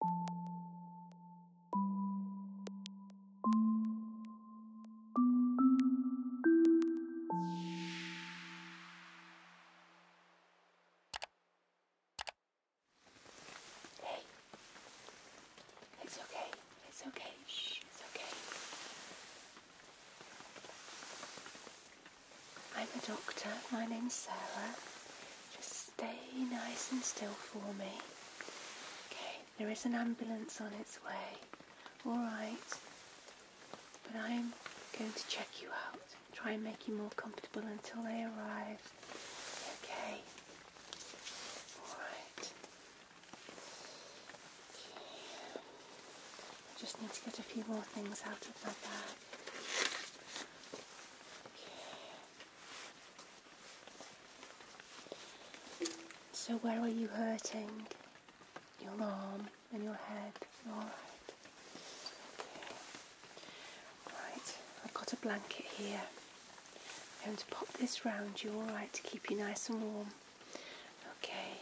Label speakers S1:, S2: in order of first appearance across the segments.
S1: Hey, it's okay, it's okay, shh, it's okay. I'm a doctor, my name's Sarah. Just Stay nice and still for me. Okay, there is an ambulance on its way. Alright. But I'm going to check you out. Try and make you more comfortable until they arrive. Okay. Alright. I just need to get a few more things out of my bag. Okay. So where are you hurting? Your arm and your head. Alright. Right, I've got a blanket here. I'm going to pop this round you, alright, to keep you nice and warm. Okay.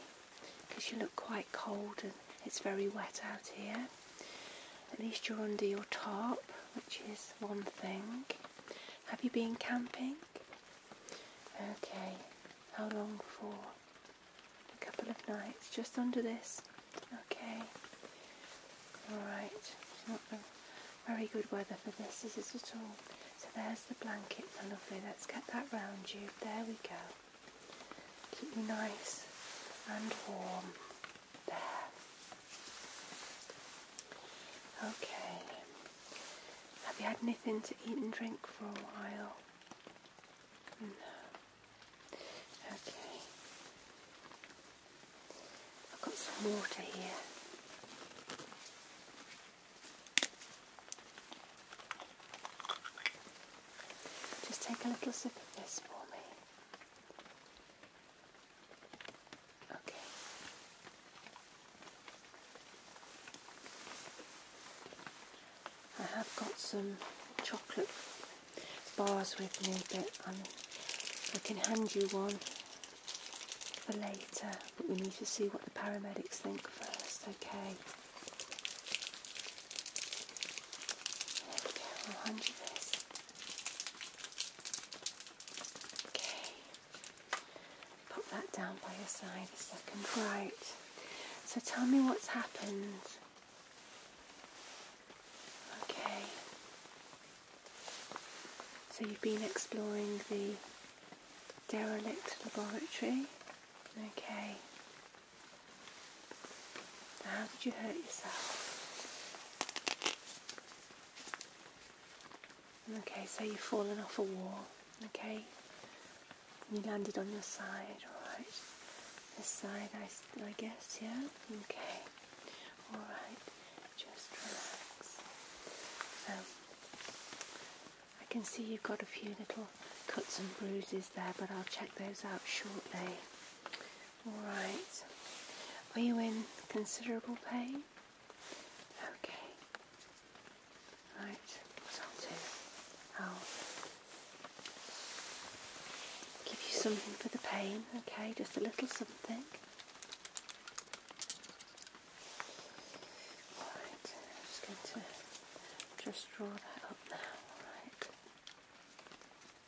S1: Because you look quite cold and it's very wet out here. At least you're under your tarp, which is one thing. Have you been camping? Okay, how long for? A couple of nights, just under this. Okay, alright. It's not very good weather for this, is it at all? So there's the blanket, lovely. Let's get that round you. There we go. Keep you nice and warm. There. Okay. Have you had anything to eat and drink for a while? No. Okay. I've got some water here. Just take a little sip of this for me. Okay. I have got some chocolate bars with me, but i can hand you one for later, but we need to see what the paramedics think first, okay? There I'll hand you this. Okay, that down by your side second. Right, so tell me what's happened. Okay, so you've been exploring the derelict laboratory. Okay. How did you hurt yourself? Okay, so you've fallen off a wall, okay? You landed on your side, alright? This side, I, I guess, yeah? Okay, alright. Just relax. So, I can see you've got a few little cuts and bruises there, but I'll check those out shortly. Alright. Are you in considerable pain? Okay. Right, what I'll give you something for the pain, okay? Just a little something. Alright, just going to just draw that up now, alright? Okay.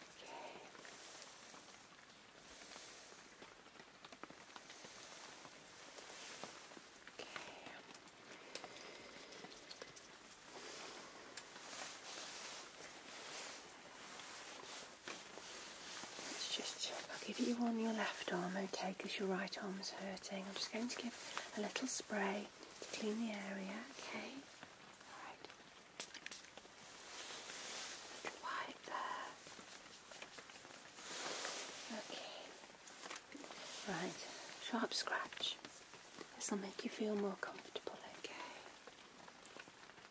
S1: Let's just I'll give you on your left arm, okay, because your right arm hurting. I'm just going to give a little spray to clean the area, okay? Alright. Right there. Okay. Right. Sharp scratch. This will make you feel more comfortable, okay?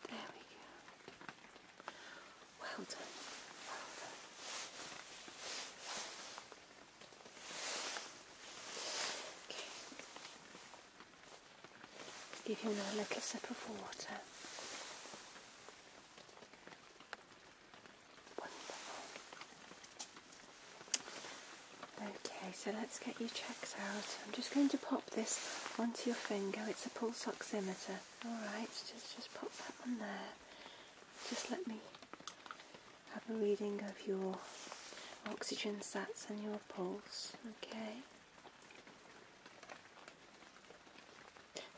S1: There we go. Well done. Well done. Okay. Give you a little sip of water. Wonderful. Okay, so let's get your checks out. I'm just going to pop this onto your finger. It's a pulse oximeter. Alright, just, just pop that one there. Just let me have a reading of your oxygen sats and your pulse. Okay.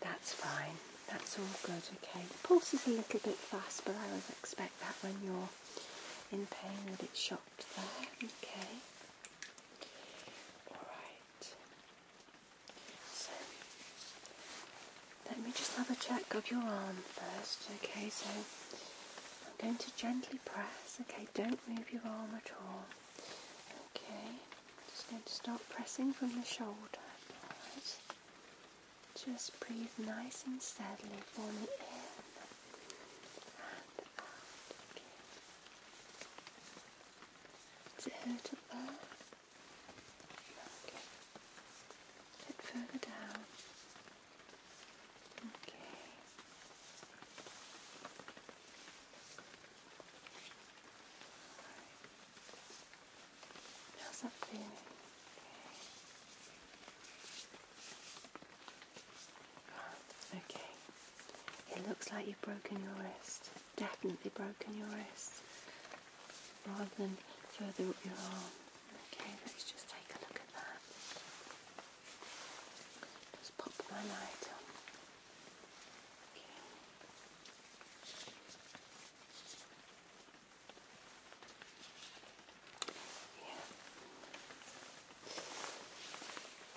S1: That's fine. That's all good, okay. The pulse is a little bit fast, but I always expect that when you're in pain a bit shocked there, okay. Alright. So, let me just have a check of your arm first, okay. So, I'm going to gently press, okay. Don't move your arm at all, okay. Just going to stop pressing from the shoulder. Just breathe nice and steadily for the in and out. Okay. Does it there? A bit further down. Okay okay. It looks like you've broken your wrist. Definitely broken your wrist. Rather than further up your arm. Okay, let's just take a look at that. Just pop my light on.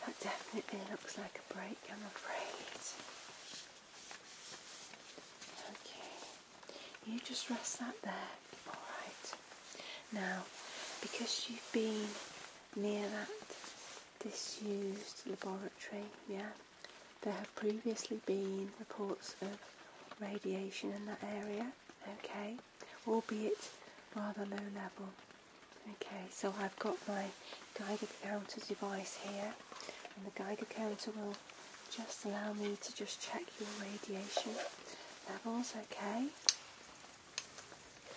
S1: That definitely looks like a break, I'm afraid. Okay, you just rest that there, alright. Now, because you've been near that disused laboratory, yeah. There have previously been reports of radiation in that area, okay, albeit rather low level. Okay, so I've got my Geiger counter device here, and the Geiger counter will just allow me to just check your radiation levels, okay.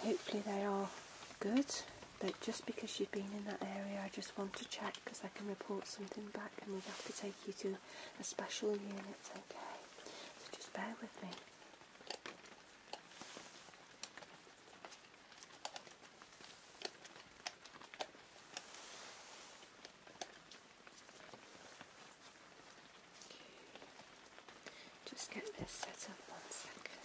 S1: Hopefully they are good. But just because you've been in that area, I just want to check because I can report something back and we'd have to take you to a special unit, okay? So just bear with me. Just get this set up one second.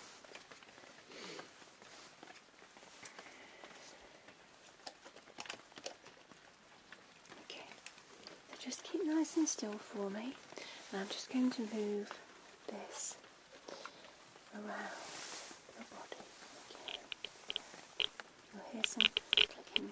S1: Okay, just keep nice and still for me, and I'm just going to move this around your body. Okay, you'll hear some clicking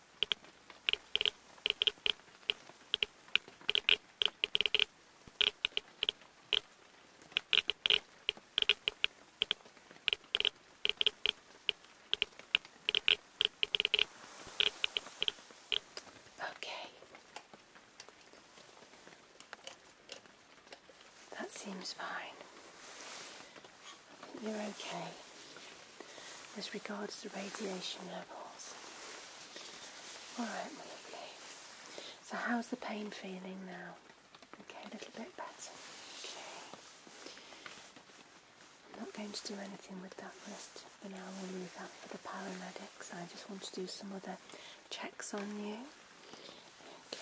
S1: Okay. That seems fine. you're okay as regards the radiation levels. Alright, my So, how's the pain feeling now? Okay, a little bit better. Okay. I'm not going to do anything with that wrist for now. We'll leave that for the paramedics. I just want to do some other checks on you. Okay,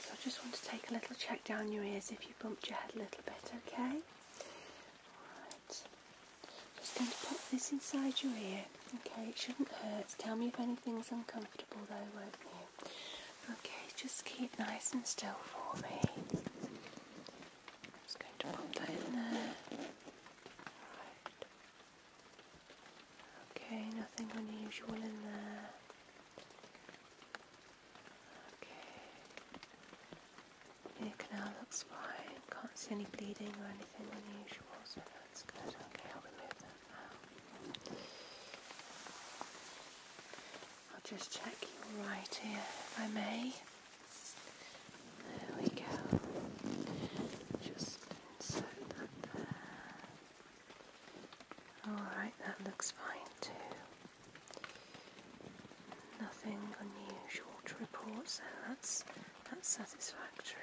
S1: so I just want to take a little check down your ears if you bumped your head a little bit, okay? Right. Just going to pop this inside your ear. Okay, it shouldn't hurt. Tell me if anything's uncomfortable though, won't you? Okay, just keep nice and still for me. just going to pop that in there. Okay, nothing unusual in there. Okay. Your canal looks fine. Can't see any bleeding or anything unusual, so that's good. Okay, I'll remove that now. I'll just check your right here, if I may. There we go. Just insert that there. Alright, that looks fine too. Nothing unusual to report, so that's, that's satisfactory.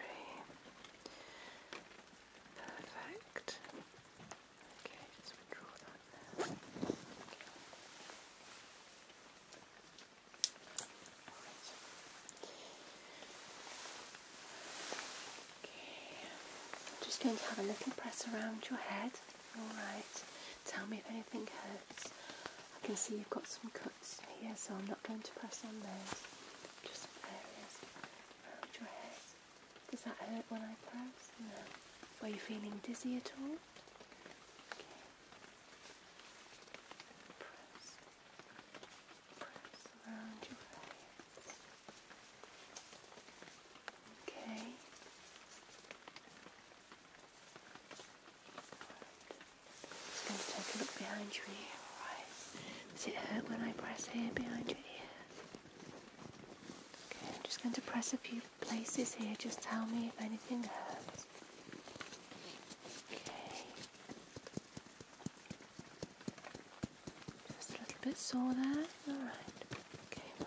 S1: Perfect. Okay, just withdraw that Okay. I'm just going to have a little press around your head. All right. Tell me if anything hurts. I can see you've got some cuts here, so I'm not going to press on those. Just some areas around your head. Does that hurt when I press? No. Are you feeling dizzy at all? Press. Press around your face. Okay. Just going to take a look behind you. ear, alright? Does it hurt when I press here behind your ear? Okay, I'm just going to press a few places here. Just tell me if anything hurts. Okay. Just a little bit sore there. Alright. Okay,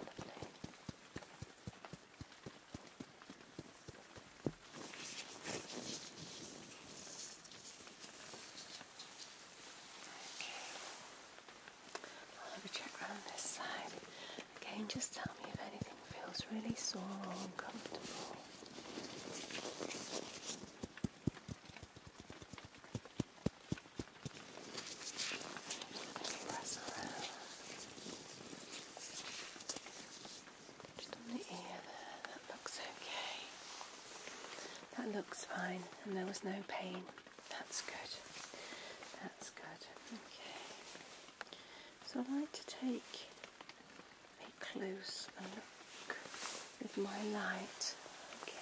S1: I'll have a check round this side. Again, just tell me if anything feels really sore or uncomfortable. Just on the ear there, that looks okay. That looks fine, and there was no pain. That's good. That's good. Okay. So I'd like to take a close look with my light. Okay.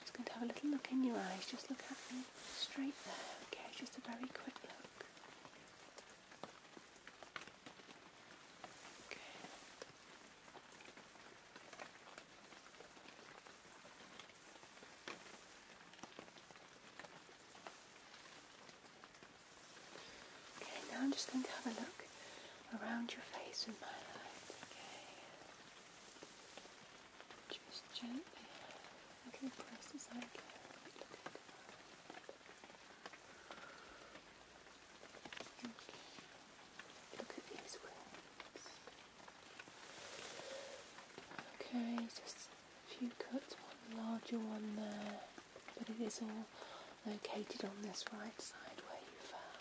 S1: Just going to have a little look in your eyes. Just look at me straight there, okay? Just a very quick look. Okay. now I'm just going to have a look around your face with my light, okay? just gently. I press this out again. Look at these wings. Okay, just a few cuts, one larger one there, but it is all located on this right side where you fell.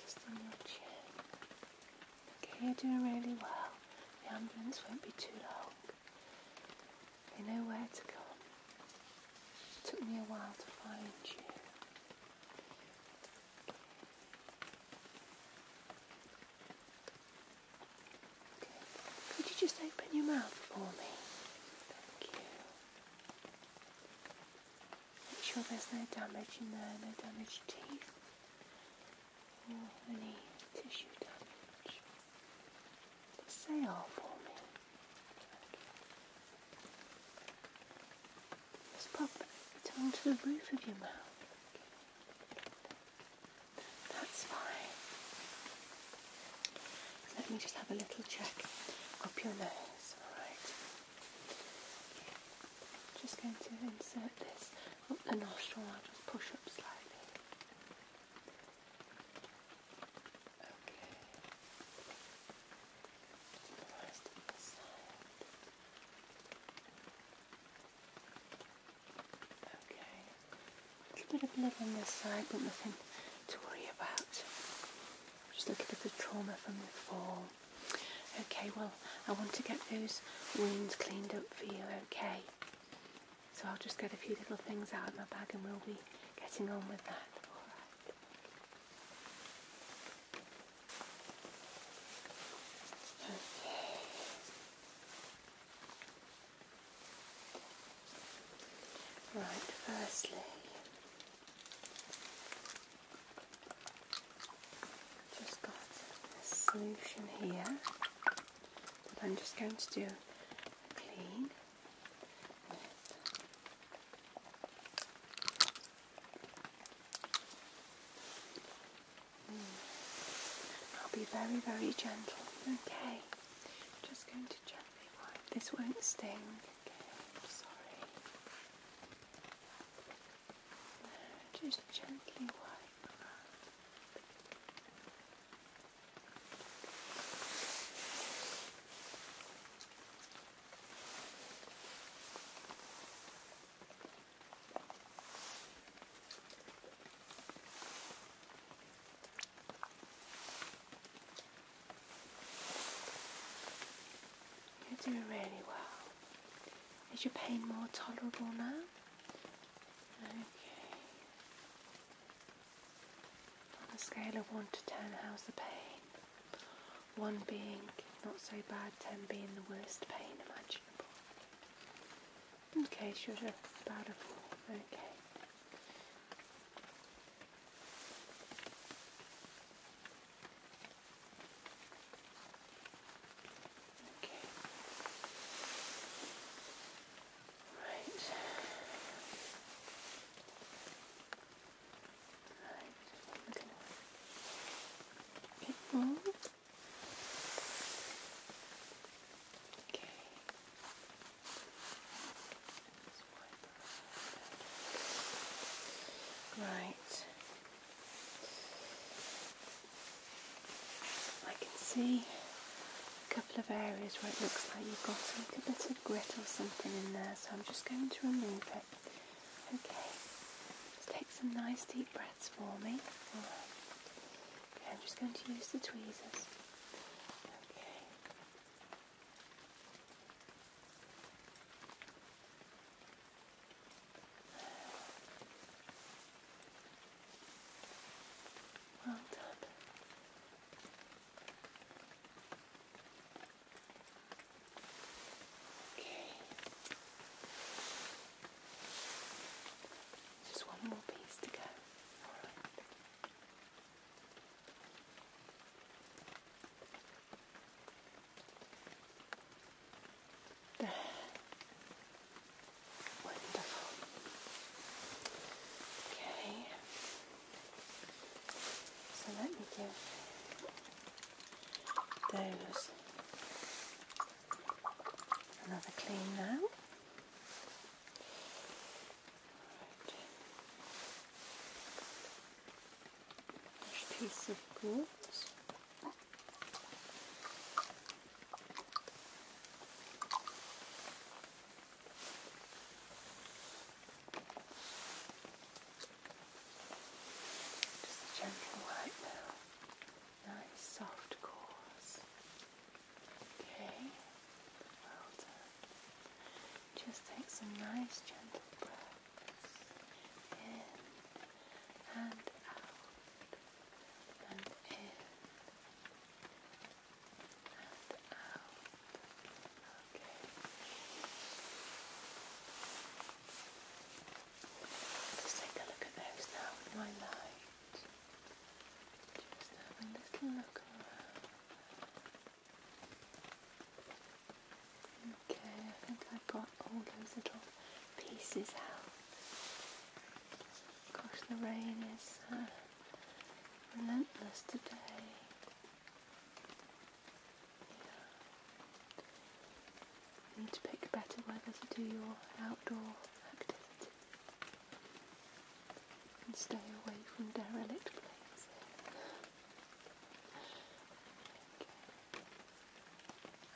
S1: Just look your chin. Okay, you're doing really well. The ambulance won't be too long. They know where to come. It took me a while to find you. Could you just open your mouth for me? Thank you. Make sure there's no damage in there, no damaged teeth or any tissue damage. Just say R ah for me. Just pop it onto the roof of your mouth. That's fine. Let me just have a little check up your nose, alright? Just going to insert this up the nostril, I'll just push up slightly. Okay. the rest of the side. Okay, a little bit of blood on this side, but nothing to worry about. Just looking at the trauma from the fall. Okay, well, I want to get those wounds cleaned up for you, okay? So I'll just get a few little things out of my bag and we'll be getting on with that. Okay. Right, firstly, just got a solution here that I'm just going to do clean Mm. I'll be very, very gentle. Okay. just going to gently wipe. This won't sting. Okay, I'm sorry. just gently wipe around. You're doing really well. Is your pain more tolerable now? Okay. On a scale of 1 to 10, how's the pain? 1 being not so bad, 10 being the worst pain imaginable. Okay, should have about a four. Okay. Okay. Right. Right. We're Right. I can see a couple of areas where it looks like you've got like a bit of grit or something in there, so I'm just going to remove it. Okay. Just take some nice deep breaths for me. I'm just going to use the tweezers. Okay. Well done. Okay. Just one more piece to go. Wonderful. Okay. So let me give those Another clean now. piece of gold. gentle wipe now. Nice soft course. Okay, Just take some nice gentle breaths in and out and in and out. Okay. let take a look at those now with my light. Just have a little look around. Okay, I think I've got all those little pieces out. Gosh, the rain is uh, relentless today. You need to pick better weather to do your outdoor activity and stay away from derelict places.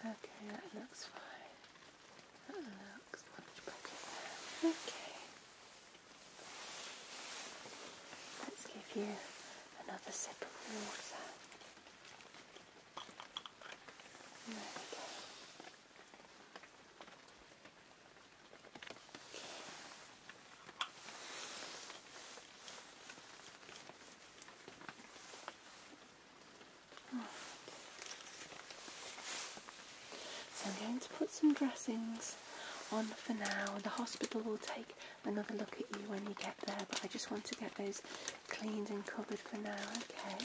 S1: Okay. that looks fine. That looks much better. Okay. Let's give you another sip of water. There we go. So I'm going to put some dressings on for now. The hospital will take another look at you when you get there, but I just want to get those cleaned and covered for now, okay?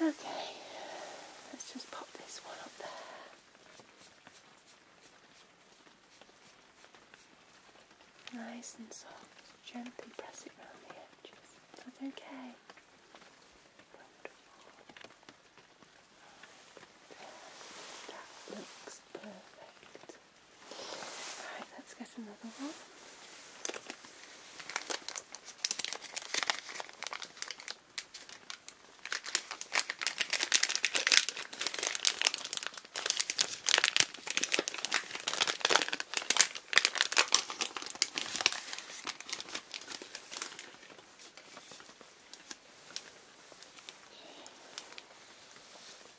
S1: Okay, let's just pop this one up there. Nice and soft. Gently press it round the edges. That's okay. That looks perfect. Alright, let's get another one.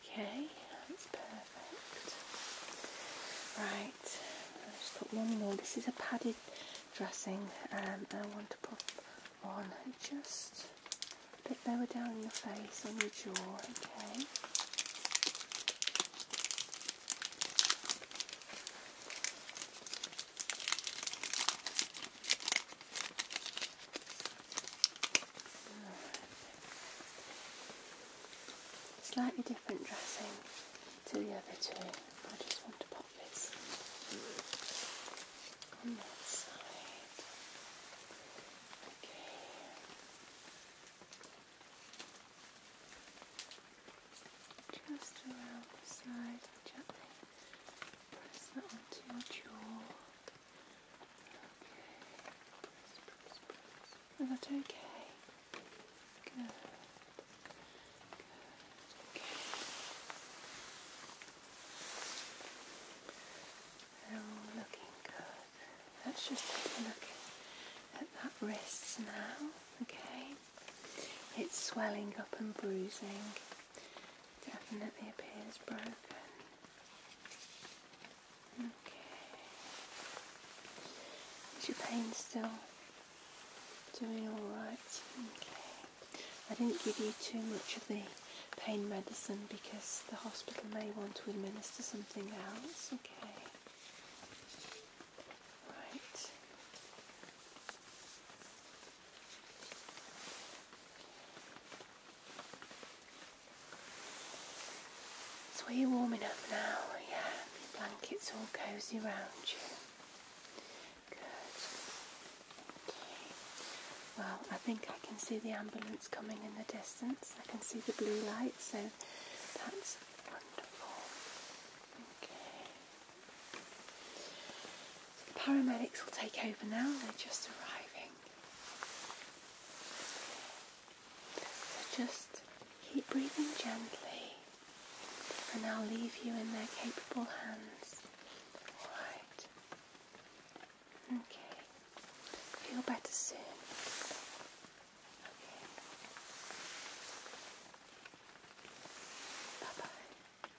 S1: Okay, that's perfect. Right, I just put one more. This is a padded dressing, um, and um, I want to put one just a bit lower down in your face on your jaw. Okay. Slightly different dressing to the other two. I just want to pop this on that side. Okay. Just around the side, gently press that onto your jaw. Is that okay? Good. They're all looking good. Let's just a look at that wrist now, okay? It's swelling up and bruising. Definitely appears broken. Okay. Is your pain still doing alright? Okay. I didn't give you too much of the pain medicine because the hospital may want to administer something else. Okay. Right. So It's are warming up now, yeah. Your blanket's all cosy round you. Good. Okay. Well, I think I can see the ambulance coming in the distance. I can see the blue light, so that's wonderful. Okay the paramedics will take over now, they're just arriving. So just keep breathing gently and I'll leave you in their capable hands. Alright. Okay. Feel better soon. Okay. Bye bye.